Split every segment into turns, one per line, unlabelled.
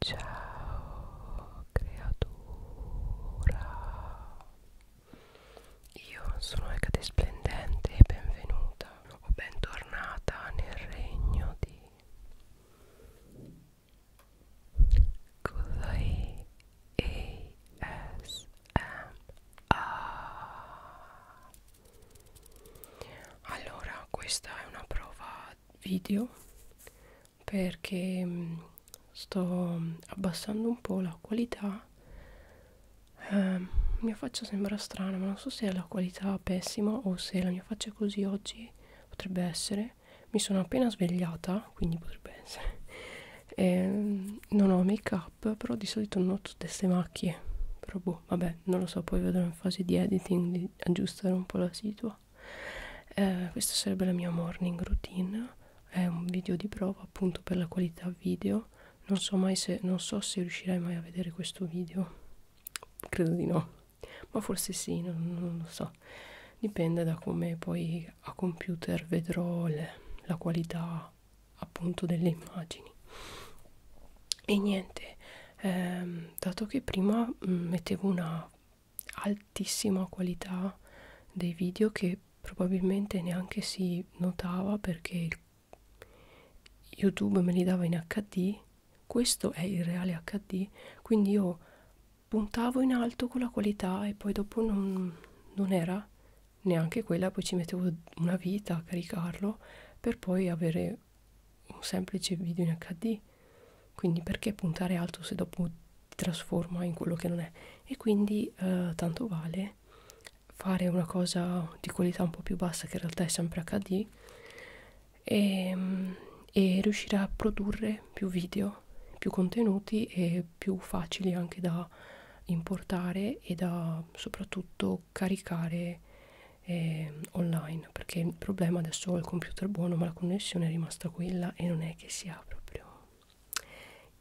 Ciao creatura Io sono Ecate Splendente e benvenuta o bentornata nel regno di Kudai ASMR Allora questa è una prova video perché mm, sto abbassando un po' la qualità eh, mia faccia sembra strana ma non so se è la qualità pessima o se la mia faccia è così oggi potrebbe essere mi sono appena svegliata quindi potrebbe essere e ehm, non ho make up però di solito non ho tutte queste macchie però boh vabbè non lo so poi vedrò in fase di editing di aggiustare un po' la situa eh, questa sarebbe la mia morning routine è un video di prova appunto per la qualità video non so mai se non so se riuscirai mai a vedere questo video credo di no ma forse sì non, non lo so dipende da come poi a computer vedrò le, la qualità appunto delle immagini e niente ehm, dato che prima mh, mm, mettevo una altissima qualità dei video che probabilmente neanche si notava perché YouTube me li dava in HD, questo è il reale HD, quindi io puntavo in alto con la qualità e poi dopo non, non era neanche quella, poi ci mettevo una vita a caricarlo per poi avere un semplice video in HD quindi perché puntare alto se dopo ti trasforma in quello che non è? E quindi eh, tanto vale fare una cosa di qualità un po' più bassa che in realtà è sempre HD e, ehm, e riuscire a produrre più video, più contenuti e più facili anche da importare e da soprattutto caricare eh, online online perché il problema adesso ho il computer buono ma la connessione è rimasta quella e non è che si ha proprio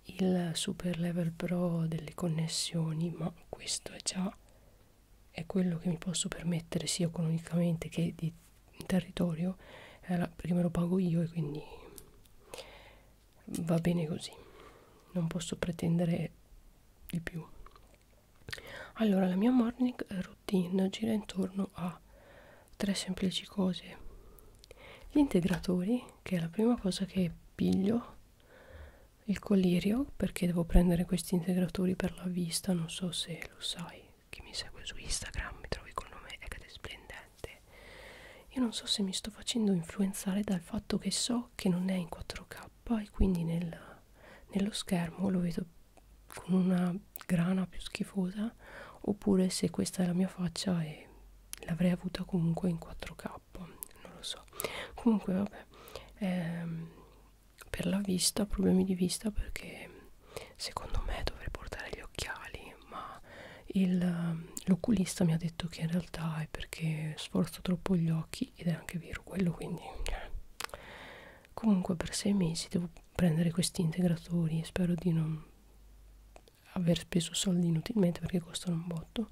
il super level pro delle connessioni ma questo è già è quello che mi posso permettere sia economicamente che di territorio eh, perché me lo pago io e quindi va bene così non posso pretendere di più allora la mia morning routine gira intorno a tre semplici cose gli integratori che è la prima cosa che piglio il colirio perché devo prendere questi integratori per la vista non so se lo sai chi mi segue su Instagram mi trovi col nome Egade Splendente io non so se mi sto facendo influenzare dal fatto che so che non è in 4K e quindi nel, nello schermo lo vedo con una grana più schifosa oppure se questa è la mia faccia e l'avrei avuta comunque in 4K non lo so comunque vabbè ehm, per la vista problemi di vista perché secondo me dovrei portare gli occhiali ma l'oculista mi ha detto che in realtà è perché sforzo troppo gli occhi ed è anche vero quello quindi eh. comunque per sei mesi devo prendere questi integratori e spero di non aver speso soldi inutilmente perché costano un botto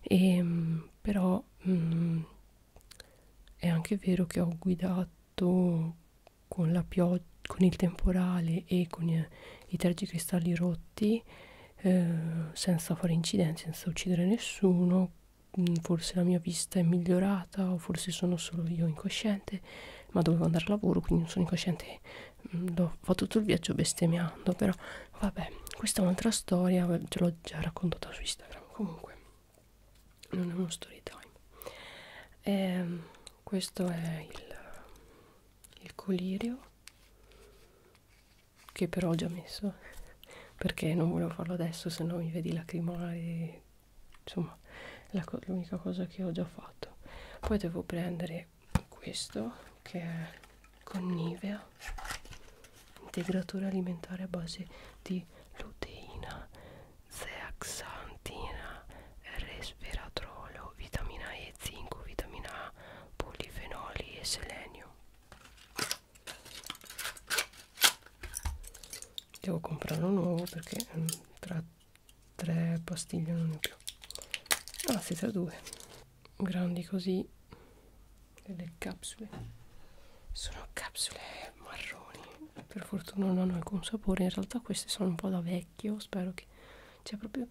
e, ehm, però mh, mm, è anche vero che ho guidato con la pioggia con il temporale e con eh, i, i tergicristalli rotti eh, senza fare incidenti senza uccidere nessuno mm, forse la mia vista è migliorata o forse sono solo io incosciente ma dovevo andare al lavoro quindi non sono incosciente l'ho mm, fatto tutto il viaggio bestemmiando però vabbè questa è un'altra storia ce l'ho già raccontata su Instagram comunque non è uno story time e, ehm, questo è il, il colirio che però ho già messo perché non volevo farlo adesso se no mi vedi lacrimare insomma è co l'unica cosa che ho già fatto poi devo prendere questo che è con Nivea integratore alimentare a base di luteina zeaxantina resveratrolo vitamina E zinco vitamina A polifenoli e selenio devo comprare un nuovo perché mm, tra tre pastiglie non ne ho più ah si tra due grandi così delle capsule sono capsule marroni per fortuna non hanno alcun sapore in realtà queste sono un po' da vecchio spero che c'è proprio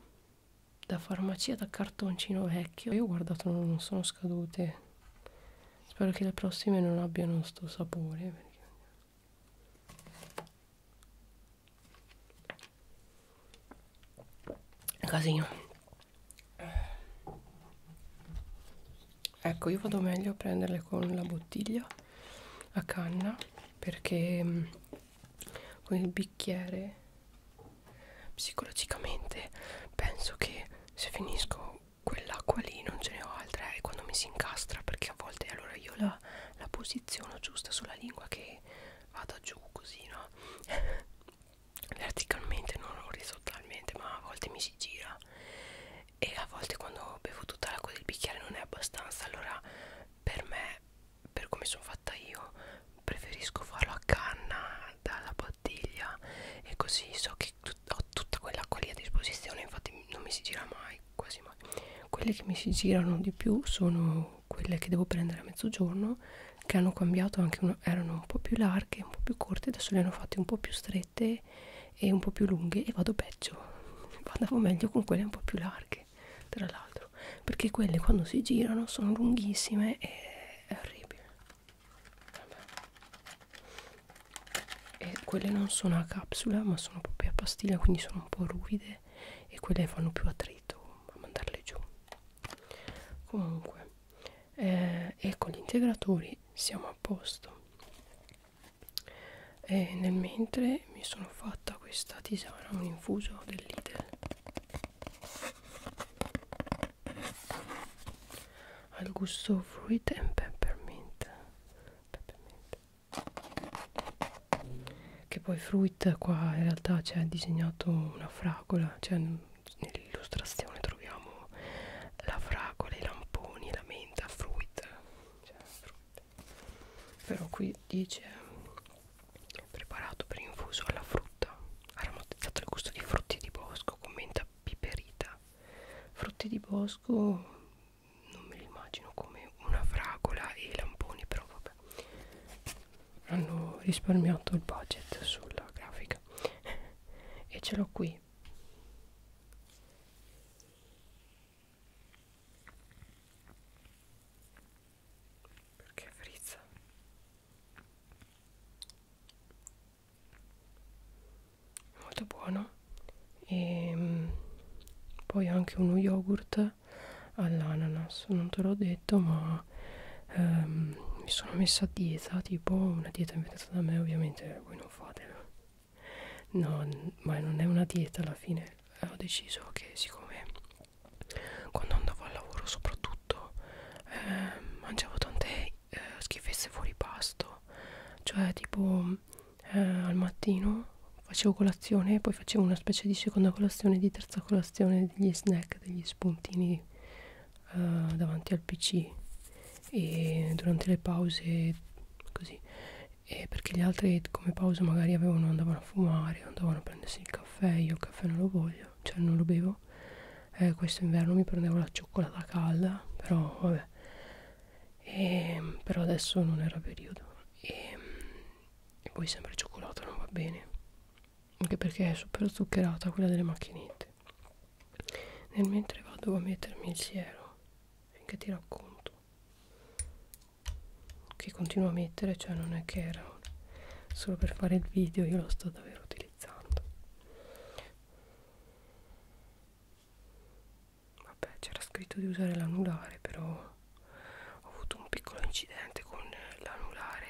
da farmacia da cartoncino vecchio io ho guardato non sono scadute spero che le prossime non abbiano sto sapore perché Casino. Ecco, io vado meglio a prenderle con la bottiglia a canna perché mm, con il bicchiere psicologicamente penso che se finisco quell'acqua lì non ce ne ho altra e eh, quando mi si incastra perché a volte allora io la la, la posiziono giusta sulla lingua che vada giù così no verticalmente non orizzontalmente ma a volte mi si gira e a volte quando bevo tutta l'acqua del bicchiere non è abbastanza allora per me per come sono fatta io preferisco farlo a canna dalla bottiglia e così so che ho tutta quell'acqua lì a disposizione infatti non mi si gira mai mai, quasi mai. Quelle che mi si girano di più sono quelle che devo prendere a mezzogiorno, che hanno cambiato anche, una, erano un po' più larghe, un po' più corte, adesso le hanno fatte un po' più strette e un po' più lunghe e vado peggio. Andavo meglio con quelle un po' più larghe, tra l'altro, perché quelle quando si girano sono lunghissime e è orribile. Vabbè e quelle non sono a capsula ma sono proprio a pastiglia quindi sono un po' ruvide e quelle fanno più attrito a mandarle giù comunque eh, e con gli integratori siamo a posto e nel mentre mi sono fatta questa tisana un infuso del Lidl al gusto fruit and peppermint, peppermint che poi Fruit qua in realtà c'è disegnato una fragola cioè nell'illustrazione troviamo la fragola, i lamponi, la menta, Fruit, cioè, fruit. però qui dice preparato per infuso alla frutta aromatizzato al gusto di frutti di bosco con menta piperita frutti di bosco non me li immagino come una fragola e i lamponi però vabbè hanno risparmiato il budget sulla grafica e ce l'ho qui perché frizza molto buono e ehm, poi anche uno yogurt all'ananas non te l'ho detto ma ehm, mi sono messa a dieta tipo una dieta inventata da me ovviamente voi non fatela no ma non è una dieta alla fine ho deciso che siccome quando andavo al lavoro soprattutto eh, mangiavo tante eh, schifezze fuori pasto cioè tipo eh, al mattino facevo colazione poi facevo una specie di seconda colazione di terza colazione degli snack degli spuntini eh, davanti al pc e durante le pause così e perché gli altri come pausa magari avevano, andavano a fumare andavano a prendersi il caffè io il caffè non lo voglio cioè non lo bevo eh, questo inverno mi prendevo la cioccolata calda però vabbè e, ehm, però adesso non era periodo e, ehm, e poi sempre cioccolata non va bene anche perché è super zuccherata quella delle macchinette nel mentre vado a mettermi il siero finché ti racconto che continuo a mettere cioè non è che era solo per fare il video io lo sto davvero utilizzando vabbè c'era scritto di usare l'anulare però ho avuto un piccolo incidente con l'anulare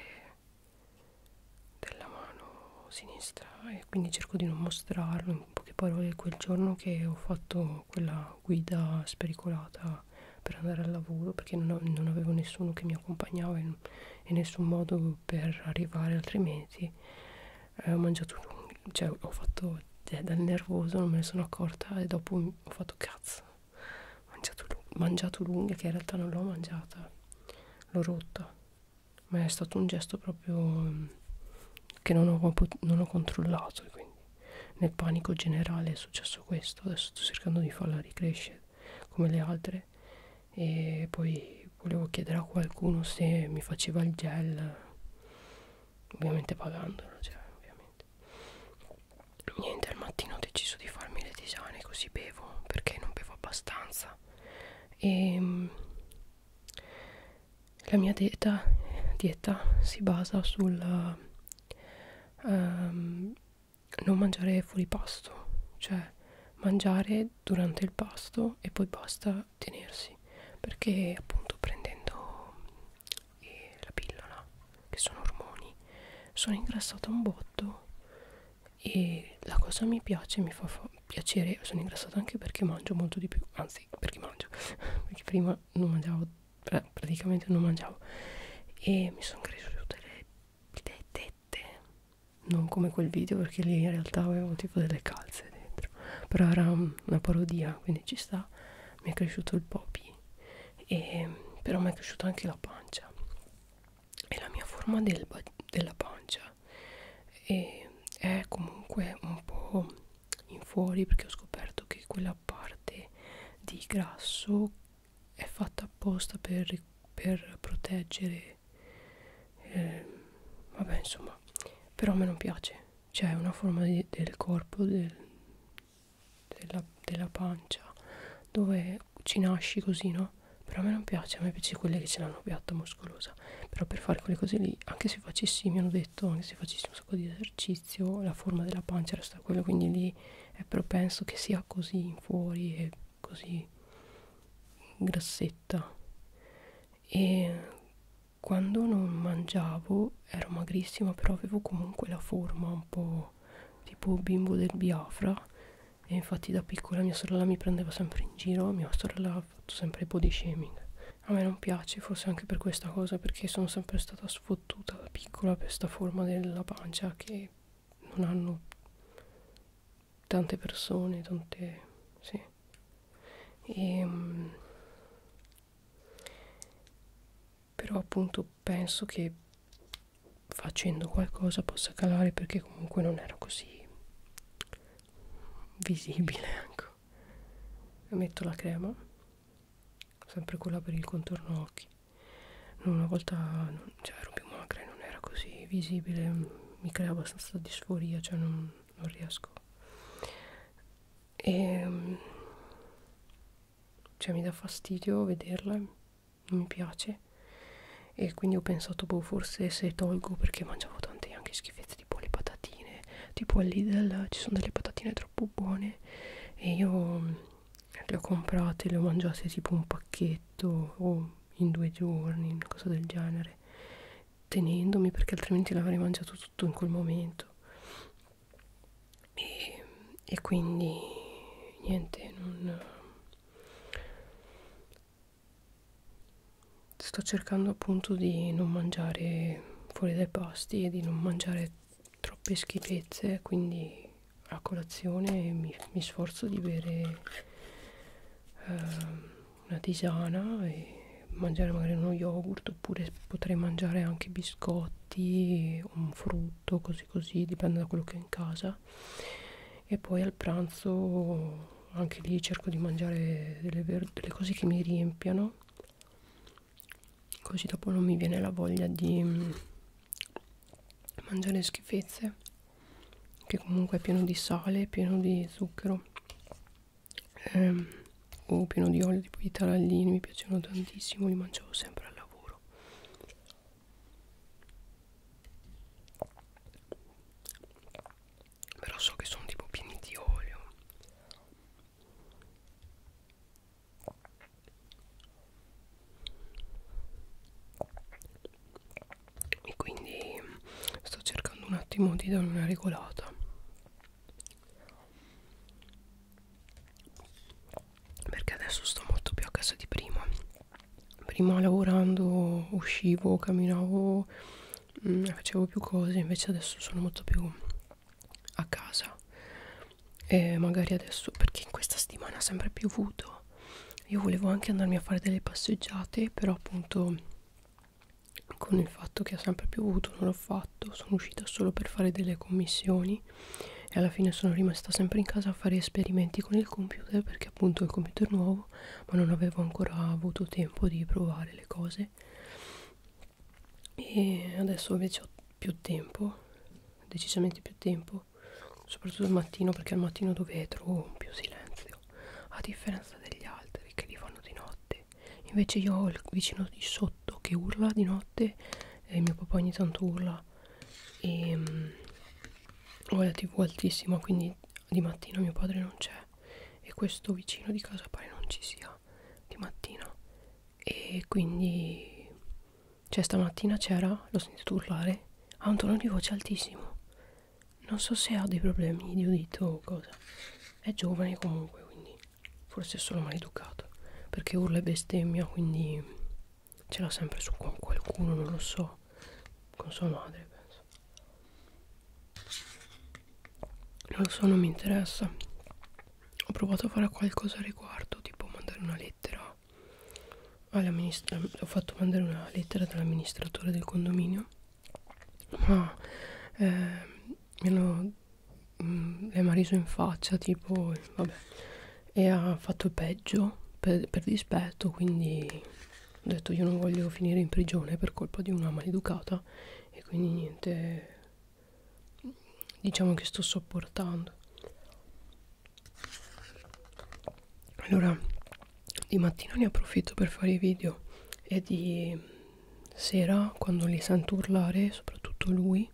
della mano sinistra e quindi cerco di non mostrarlo in poche parole quel giorno che ho fatto quella guida spericolata per andare al lavoro perché non, non avevo nessuno che mi accompagnava e, e nessun modo per arrivare altrimenti eh, ho mangiato cioè ho fatto cioè, dal nervoso non me ne sono accorta e dopo ho fatto cazzo ho mangiato, mangiato l'unghia che in realtà non l'ho mangiata l'ho rotta ma è stato un gesto proprio mm, che non ho, non ho controllato quindi nel panico generale è successo questo adesso sto cercando di farla ricrescere come le altre e poi volevo chiedere a qualcuno se mi faceva il gel ovviamente pagandolo cioè, ovviamente veramente niente al mattino ho deciso di farmi le tisane così bevo perché non bevo abbastanza e ehm, la mia dieta, dieta si basa sul um, non mangiare fuori pasto cioè mangiare durante il pasto e poi basta tenersi perché appunto prendendo e la pillola che sono ormoni sono ingrassata un botto e la cosa mi piace mi fa, fa piacere sono ingrassata anche perché mangio molto di più anzi perché mangio perché prima non mangiavo eh, praticamente non mangiavo e mi sono cresciute le, le tette non come quel video perché lì in realtà avevo tipo delle calze dentro però era una parodia quindi ci sta mi è cresciuto il popi e, però mi è cresciuta anche la pancia e la mia forma del della pancia e è comunque un po' in fuori perché ho scoperto che quella parte di grasso è fatta apposta per, per proteggere eh, vabbè insomma però a me non piace c'è cioè, una forma di, del corpo, del, della, della pancia, dove ci nasci così, no? Però a me non piace, a me piace quelle che ce l'hanno piatta, muscolosa. Però per fare quelle cose lì, anche se facessi, mi hanno detto, anche se facessi un sacco di esercizio, la forma della pancia resta quella, quindi lì è propenso che sia così in fuori e così grassetta. E quando non mangiavo ero magrissima però avevo comunque la forma un po' tipo bimbo del Biafra e infatti da piccola mia sorella mi prendeva sempre in giro mia sorella ha fatto sempre body shaming a me non piace forse anche per questa cosa perché sono sempre stata sfottuta da piccola per questa forma della pancia che non hanno tante persone tante sì e ehm, però appunto penso che facendo qualcosa possa calare perché comunque non era così visibile ecco metto la crema sempre quella per il contorno occhi una volta non, cioè, ero più magra e non era così visibile mi crea abbastanza disforia cioè non, non riesco e, ehm, cioè mi dà fastidio vederla, non mi piace. E quindi ho pensato, boh, forse se tolgo perché mangiavo tante anche schifezze, tipo le patatine, tipo al Lidl ci sono delle patatine troppo buone e io mm, le ho comprate, le ho mangiate tipo un pacchetto o in due giorni, una cosa del genere, tenendomi perché altrimenti l'avrei mangiato soprattutto in quel momento e, e quindi niente non sto cercando appunto di non mangiare fuori dai pasti e di non mangiare troppe schifezze quindi a colazione mi, mi sforzo di bere eh, una tisana e mangiare magari uno yogurt oppure potrei mangiare anche biscotti un frutto così così dipende da quello che ho in casa e poi al pranzo anche lì cerco di mangiare delle, delle cose che mi riempiano così dopo non mi viene la voglia di mm, mangiare schifezze che comunque è pieno di sale pieno di zucchero ehm, o pieno di olio tipo di tarallini mi piacevano tantissimo li mangiavo sempre al lavoro però so che sono tipo pieni di olio e quindi sto cercando un attimo di dare una regolata perché adesso sto molto più a casa di prima prima lavorando uscivo camminavo mh, mm, facevo più cose invece adesso sono molto più a casa e magari adesso perché in questa settimana ha sempre piovuto io volevo anche andarmi a fare delle passeggiate però appunto con il fatto che ha sempre piovuto non l'ho fatto sono uscita solo per fare delle commissioni e alla fine sono rimasta sempre in casa a fare esperimenti con il computer perché appunto il computer nuovo ma non avevo ancora avuto tempo di provare le cose e adesso invece ho più tempo decisamente più tempo soprattutto al mattino perché al mattino dove trovo più silenzio a differenza degli altri che li fanno di notte invece io ho il vicino di sotto che urla di notte e mio papà ogni tanto urla e ehm, um, ho la tv altissima quindi di mattina mio padre non c'è e questo vicino di casa pare non ci sia di mattina e quindi cioè stamattina c'era l'ho sentito urlare ha un tono di voce altissimo non so se ha dei problemi di udito o cosa è giovane comunque quindi Forse è solo maleducato. Perché urla e bestemmia, quindi ce l'ha sempre su con qualcuno, non lo so. Con sua madre, penso. Non lo so, non mi interessa. Ho provato a fare qualcosa a riguardo, tipo mandare una lettera ho fatto mandare una lettera dall'amministratore del condominio ma eh, mi hanno mh, mm, le mariso in faccia tipo vabbè e ha fatto il peggio per, per dispetto quindi ho detto io non voglio finire in prigione per colpa di una maleducata e quindi niente diciamo che sto sopportando allora di mattina ne approfitto per fare i video e di sera quando li sento urlare, soprattutto lui,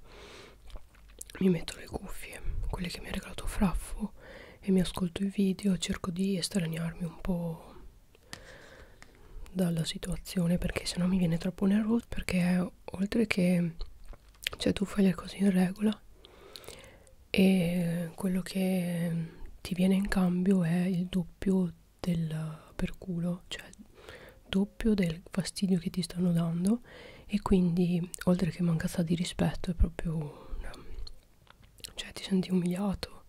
mi metto le cuffie, quelle che mi ha regalato Fraffo, e mi ascolto i video, cerco di estraniarmi un po' dalla situazione perché sennò mi viene troppo nervoso perché oltre che cioè tu fai le cose in regola e quello che ti viene in cambio è il doppio del per culo cioè doppio del fastidio che ti stanno dando e quindi oltre che mancanza di rispetto è proprio una... cioè ti senti umiliato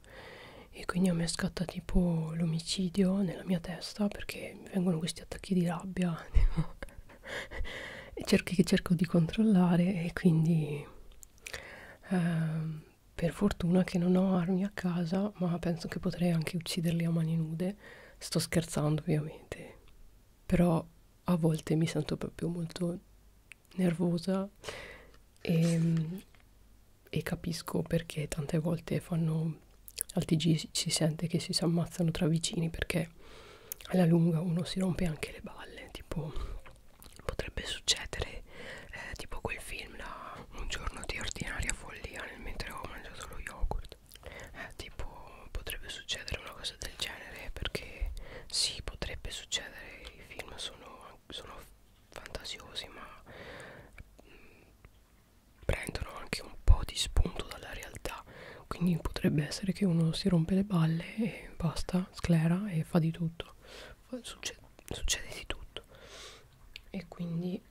e quindi a me scatta tipo l'omicidio nella mia testa perché mi vengono questi attacchi di rabbia tipo, e cerchi che cerco di controllare e quindi eh, per fortuna che non ho armi a casa ma penso che potrei anche ucciderli a mani nude Sto scherzando ovviamente, però a volte mi sento proprio molto nervosa e, e capisco perché tante volte fanno al TG si sente che si si ammazzano tra vicini perché alla lunga uno si rompe anche le balle, tipo potrebbe succedere eh, tipo quel film da un giorno di ordinaria follia nel mentre ho mangiato lo yogurt eh, tipo potrebbe succedere una cosa del genere perché sì potrebbe succedere i film sono, sono fantasiosi ma mh, mm, prendono anche un po' di spunto dalla realtà quindi potrebbe essere che uno si rompe le balle e basta sclera e fa di tutto succede, succede di tutto e quindi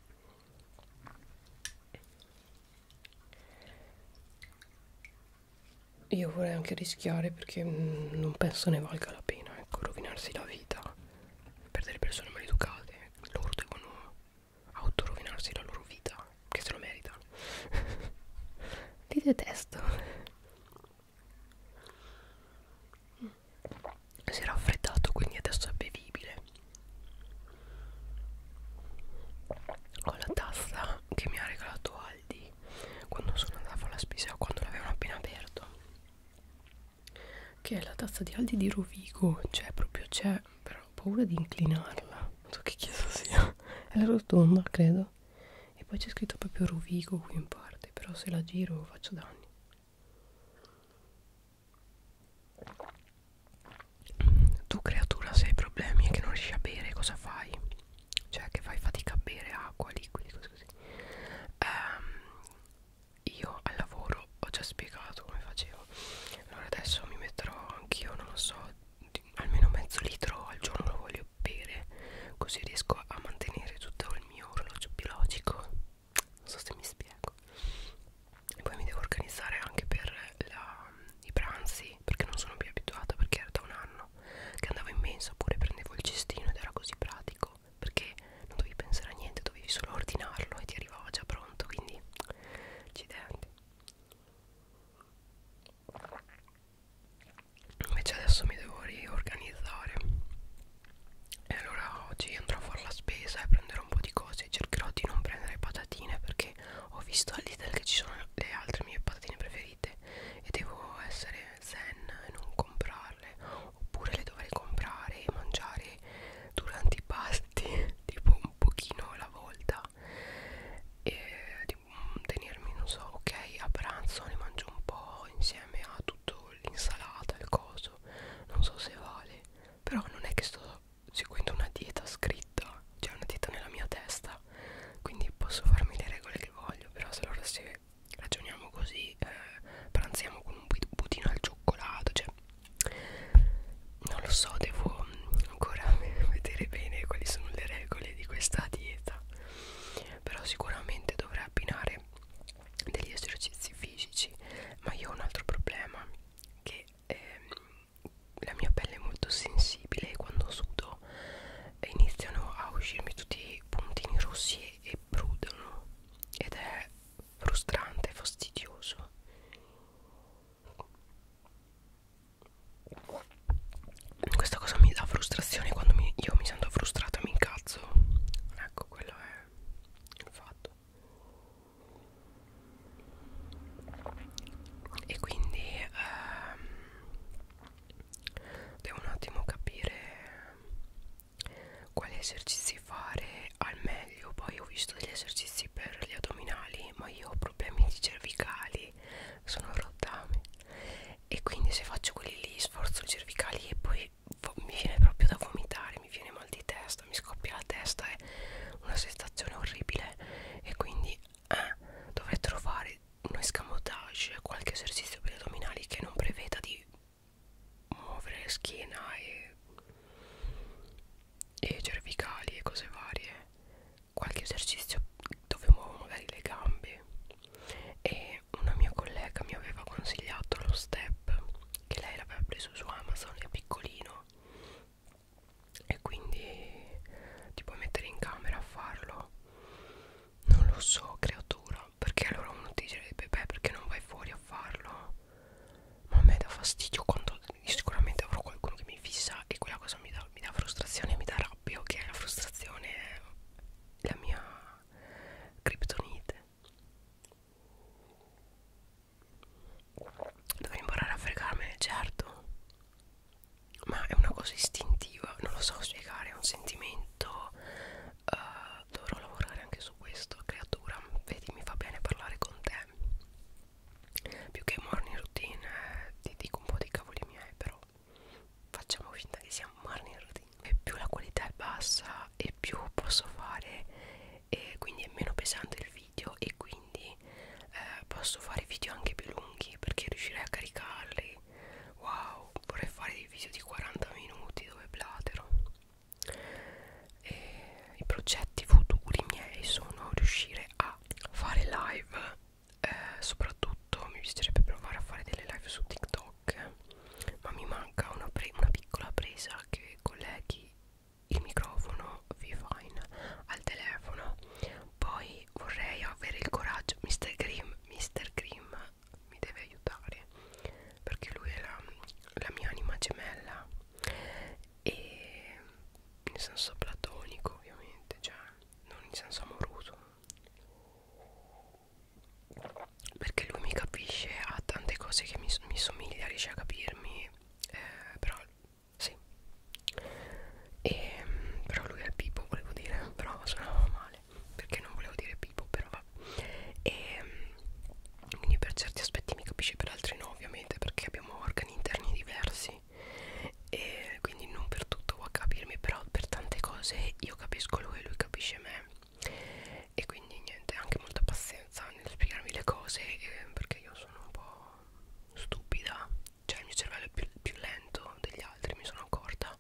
io vorrei anche rischiare perché mm, non penso ne valga la pena, ecco, rovinarsi la vita per delle persone maleducate. Loro devono autorovinarsi la loro vita, che se lo meritano. Li detesto. Si era raffreddato, quindi adesso è bevibile ho la tazza che mi ha regalato Aldi quando sono andata a fare la spesa quando l'avevano appena aperto che è la tazza di Aldi di Rovigo cioè proprio c'è però ho paura di inclinarla non so che chiesa sia è la rotonda credo e poi c'è scritto proprio Rovigo qui in parte però se la giro faccio danni tu creatura se hai problemi e che non riesci a bere cosa fai? Cioè che fai fatica a bere acqua, liquidi, cose così um, Io al lavoro ho già spiegato come facevo Allora adesso mi metterò anch'io, non lo so, di, almeno mezzo litro al giorno lo voglio bere Così riesco a mantenere tutto il mio orologio biologico Non so se mi spiego poi mi devo organizzare anche per la, i pranzi perché non sono più abituata perché era da un anno che andavo in mensa oppure prendevo il cestino ed era così pratico perché non dovevi pensare a niente dovevi solo ordinarlo e ti arrivava già pronto quindi accidenti invece adesso mi devo riorganizzare e allora oggi andrò a fare la spesa e prenderò un po' di cose cose cercherò di non prendere patatine perché ho visto al Lidl che ci sono le altre mie patatine preferite e devo essere zen e non comprarle oppure le dovrei comprare e mangiare durante i pasti tipo un pochino alla volta e tipo, tenermi non so ok a pranzo ne mangio un po' insieme a tutto l'insalata il coso non so se vale però non è che sto seguendo una dieta scritta C'è cioè una dieta nella mia testa Quindi posso farmi le regole che voglio Però se allora se ragioniamo così eh, Pranziamo con un budino al cioccolato Cioè non lo so Devo ancora vedere bene quali sono le regole di questa dieta Però sicuramente dovrei abbinare degli esercizi fisici ma io ho un altro problema che ehm, la mia pelle è molto sensibile e quando sudo iniziano a uscirmi tutti i puntini rossi e brudono ed è frustrante, fastidioso questa cosa mi dà frustrazione quando mi, io mi sento frustrata mi incazzo ecco quello è il fatto e quindi ehm, devo un attimo capire quali esercizi fare al meglio poi ho visto degli esercizi per gli addominali ma io ho problemi di cervicali sono rottami e quindi se faccio quelli lì sforzo i cervicali e poi mi viene proprio da vomitare mi viene mal di testa testa, mi scoppia la testa, è una sensazione orribile e quindi eh, dovrebbero fare un escamotage, qualche esercizio per gli addominali che non preveda di muovere la schiena e, e cervicali e cose varie, qualche esercizio dove muovo magari le gambe e una mia collega mi aveva consigliato lo step che lei l'aveva preso su Amazon, è piccolino e quindi ti puoi mettere in camera a farlo non lo so creatura perché allora uno ti direbbe beh perché non vai fuori a farlo ma a me dà fastidio quando sicuramente avrò qualcuno che mi fissa e quella cosa mi dà, mi dà frustrazione mi dà rabbia che la frustrazione è la mia criptonite Dovrei imparare a fregarmene, certo. Ma è una cosa istintiva, non lo so spiegare, è un sentimento. Uh, dovrò lavorare anche su questo, creatura. Vedi, mi fa bene parlare con te. Più che morning routine, eh, ti dico un po' di cavoli miei, però facciamo finta che sia morning routine. E più la qualità è bassa, e più posso fare, e quindi è meno pesante il video e quindi eh, posso fare video anche più lunghi perché riuscirei a caricarli wow vorrei fare dei video di 40 minuti dove platero e i progetti futuri miei sono riuscire a fare live eh, soprattutto mi piacerebbe provare a fare delle live su tiktok ma mi manca una, pre una piccola presa che colleghi il microfono Vivine al telefono poi vorrei avere il coraggio Mr. Grimm Mr. Grimm mi deve aiutare perché lui è la, la mia anima gemella e in senso platonico ovviamente cioè non in senso amoroso perché lui mi capisce ha tante cose che mi, mi somiglia riesce a capirmi eh, però sì e, però lui è Pipo volevo dire però suonava male perché non volevo dire Pipo però va e quindi per certi aspetti mi capisce per altri no ovviamente perché abbiamo organi interni diversi e quindi non per tutto può capirmi però per tante cose io capisco lui e lui capisce me e quindi niente anche molta pazienza nel spiegarmi le cose eh, perché io sono un po' stupida cioè il mio cervello è più, più lento degli altri mi sono accorta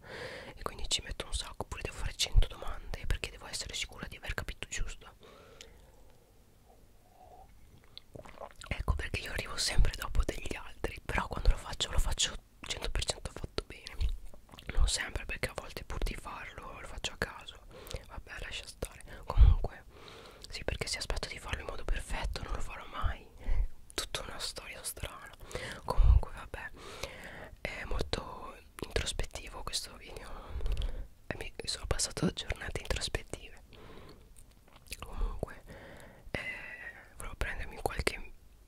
e quindi ci metto un sacco oppure devo fare 100 domande perché devo essere sicura di aver capito giusto ecco perché io arrivo sempre dopo degli altri però quando lo faccio lo faccio 100% fatto bene non sempre perché a volte pur di farlo lo faccio a caso vabbè lascia stare comunque sì perché se aspetto di farlo in modo perfetto non lo farò mai Tutta una storia strana Comunque vabbè È molto introspettivo questo video e Mi sono passato giornate introspettive Comunque eh, Volevo prendermi qualche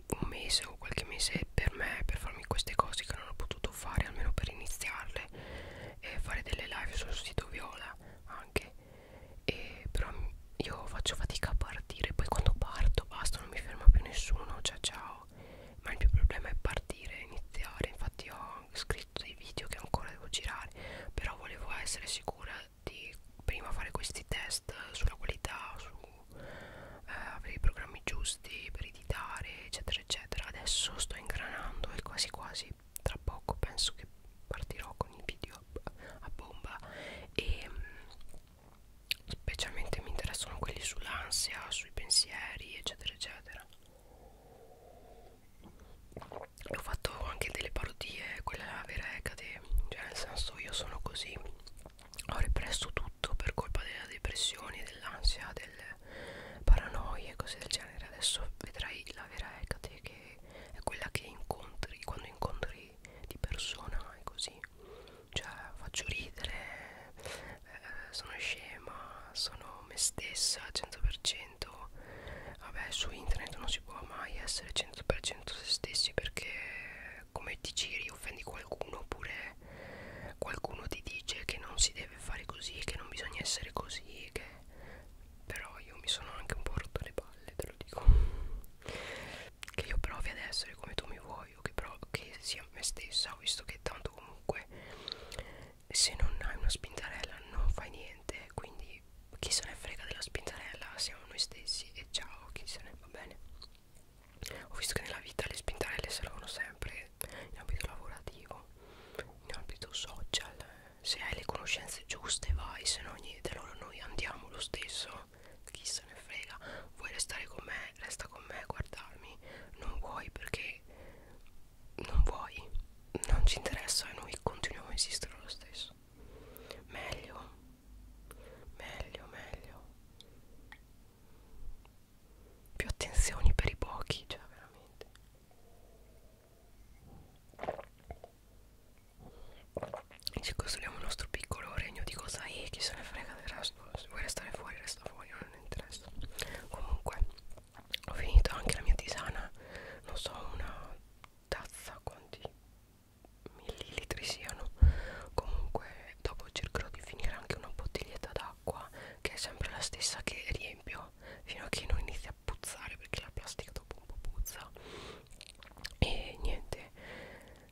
un mese o qualche mese per me per farmi queste cose che non ho potuto fare almeno per iniziarle e fare delle live sul sito Viola anche e però io faccio fatica a partire poi quando parto basta non mi ferma più nessuno cioè ciao ma il mio problema è partire iniziare infatti ho scritto dei video che ancora devo girare però volevo essere sicura di prima fare questi test sulla qualità su eh, avere i programmi giusti per editare eccetera eccetera adesso sto ingranando e quasi quasi tra poco penso che partirò con il video a bomba e mm, specialmente mi interessano quelli sull'ansia, sui pensieri eccetera eccetera ho fatto anche delle parodie, quella è la vera Ecate, cioè nel senso io sono così, ho represso tutto per colpa della depressione, dell'ansia, del paranoia e cose del genere, adesso vedrai la vera Ecate che è quella che incontri quando incontri di persona e così cioè faccio ridere eh, sono scema sono me stessa al 100% vabbè su internet non si può mai essere 100% se stessi perché come ti giri offendi qualcuno oppure qualcuno ti dice che non si deve fare così che non bisogna essere così che però io mi sono anche un po' rotto le palle te lo dico che io provi ad essere come tu mi vuoi o che, che sia me stessa visto che tanto comunque se non hai una spintarella non fai niente quindi chi se ne frega della spintarella siamo noi stessi e ciao chi se ne va bene ho visto che nella vita le spintarelle servono sempre in ambito lavorativo in ambito social se hai le conoscenze giuste vai se no niente allora noi andiamo lo stesso chi se ne frega vuoi restare con me resta con me guardarmi non vuoi perché non vuoi non ci interessa e noi continuiamo a esistere lo stesso meglio meglio meglio più attenzioni per i pochi cioè veramente ci costruiamo il nostro piccolo regno di cosa è, chi se ne frega del resto, se vuoi restare fuori resta fuori, non mi interessa. Comunque, ho finito anche la mia tisana, non so una tazza quanti millilitri siano. Comunque, dopo cercherò di finire anche una bottiglietta d'acqua che è sempre la stessa che riempio fino a che non inizia a puzzare perché la plastica dopo un po' puzza e niente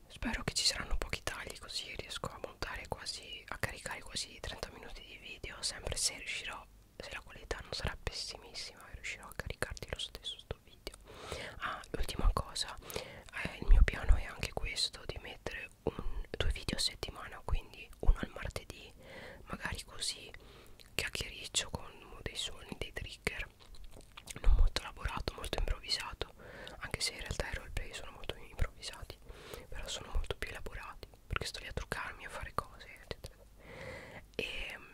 spero che ci saranno pochi tagli così riesco a montare quasi a caricare quasi 30 minuti di video sempre se riuscirò se la qualità non sarà pessimissima riuscirò a caricarti lo stesso sto video ah l'ultima cosa eh, il mio piano è anche questo di mettere un, due video a settimana quindi uno al martedì magari così chiacchiericcio con dei suoni, dei trigger non molto elaborato, molto improvvisato anche se in realtà i roleplay sono molto improvvisati però sono molto più elaborati perché sto lì a truccarmi, a fare cose eccetera e ehm,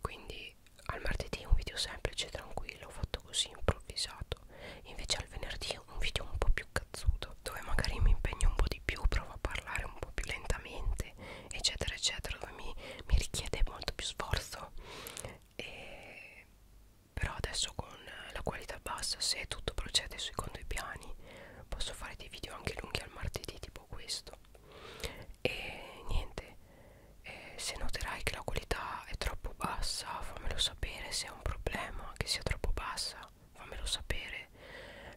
quindi al martedì un video semplice, tranquillo, fatto così improvvisato invece al venerdì un video un po' più cazzuto dove magari mi impegno un po' di più, provo a parlare un po' più lentamente eccetera eccetera dove mi, mi richiede molto più sforzo e, però adesso con la qualità bassa se tutto procede secondo i piani posso fare dei video anche lunghi al martedì tipo questo e niente eh, se noterai che la qualità è troppo bassa fammelo sapere se è un problema che sia troppo bassa fammelo sapere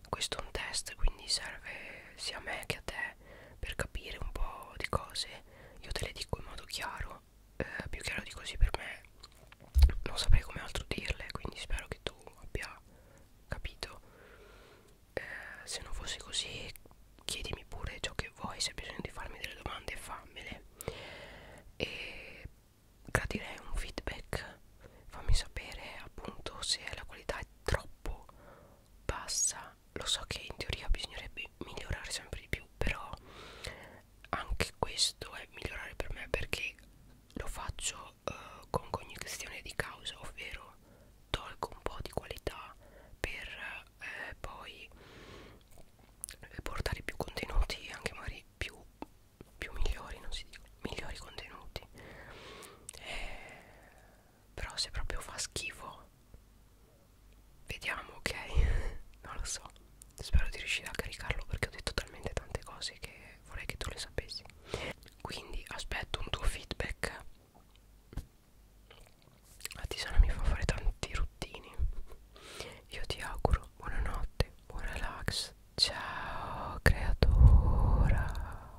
questo è un test quindi serve sia a me che a te per capire un po' di cose io te le dico in modo chiaro eh, più chiaro di così per me non saprei come altro dirle quindi spero che tu abbia capito eh, se non fosse così chiedimi pure ciò che vuoi se hai bisogno di farmi delle domande fammele e gradirei un feedback fammi sapere appunto se la qualità è troppo bassa lo so che in teoria bisognerebbe migliorare sempre di più però anche questo è migliorare per me perché lo faccio uh, con cognizione di causa ovvero tolgo un po' di qualità per eh, poi eh, portare più contenuti anche magari più, più migliori non si dice migliori contenuti eh, però se proprio fa schifo vediamo ok non lo so spero di riuscire a caricarlo perché ho detto talmente tante cose che vorrei che tu le sapessi quindi aspetto un tuo feedback la tisana mi fa fare tanti ruttini io ti auguro buonanotte buon relax ciao creatura